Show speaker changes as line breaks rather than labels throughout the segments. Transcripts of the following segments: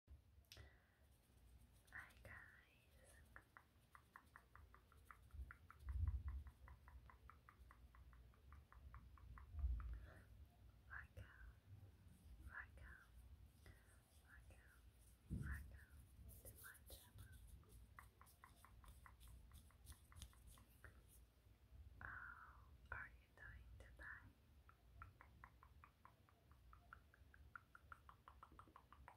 Hi guys. Raka, Raka, Raka, Raka to my channel. How oh, are you doing thank you, thank you for being here.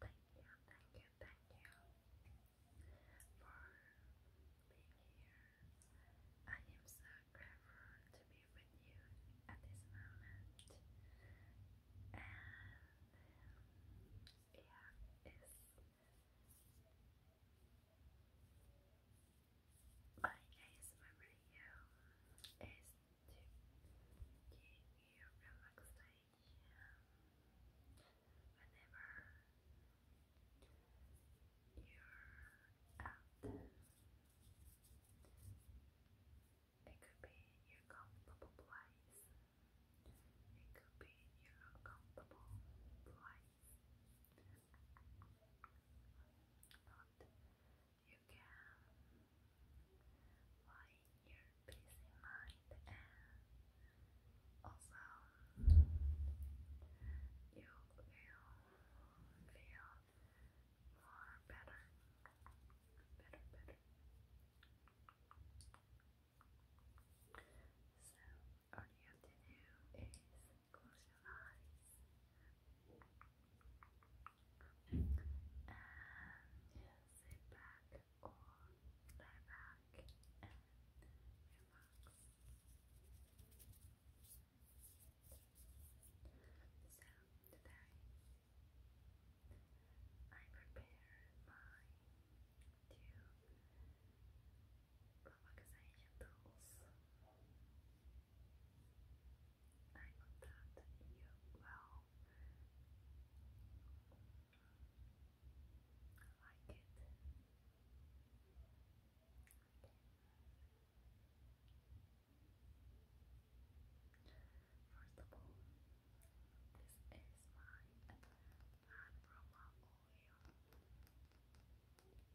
I am so grateful to be with you at this moment. And yeah, it's my video is to give you relaxation whenever you're out It could be your comfortable place. It could be your uncomfortable place. But you can lie in your busy mind and also you will feel more better, better, better. So all you have to do is Close your eyes. And sit back or lie back and relax. So today I prepared my two Provocação de adults. I hope you will like it. First of all, this is my Aroma Oil.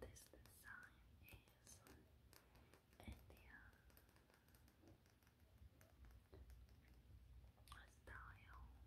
This design is Indian style, very iconic and very so like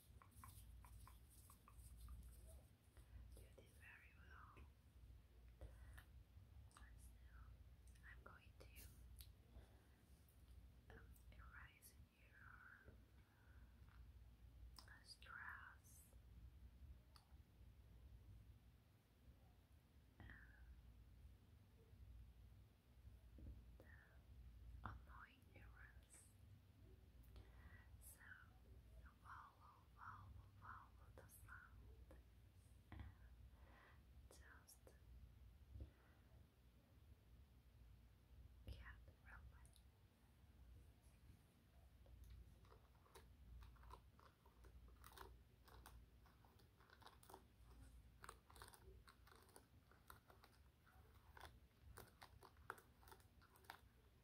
You did very well. I'm going to erase your stress. And annoying neurons. So, follow, follow, follow the sound and just get relaxed.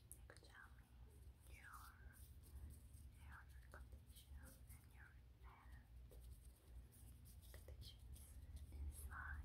examine your hair condition and your hand conditions inside your hand.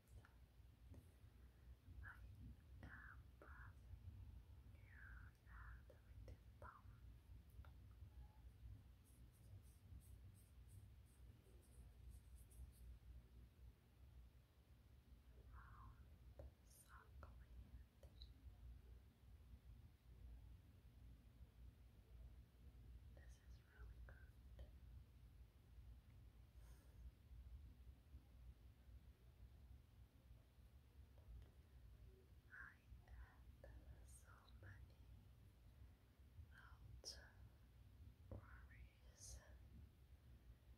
I am passing here at the written palm. Round, This is is really I had so many loud worries.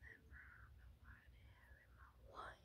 Never nobody had my life.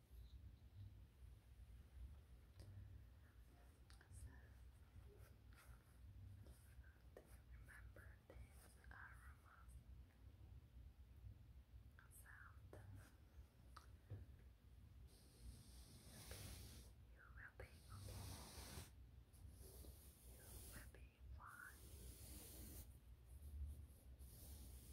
remember this aroma You will be okay. You will be fine.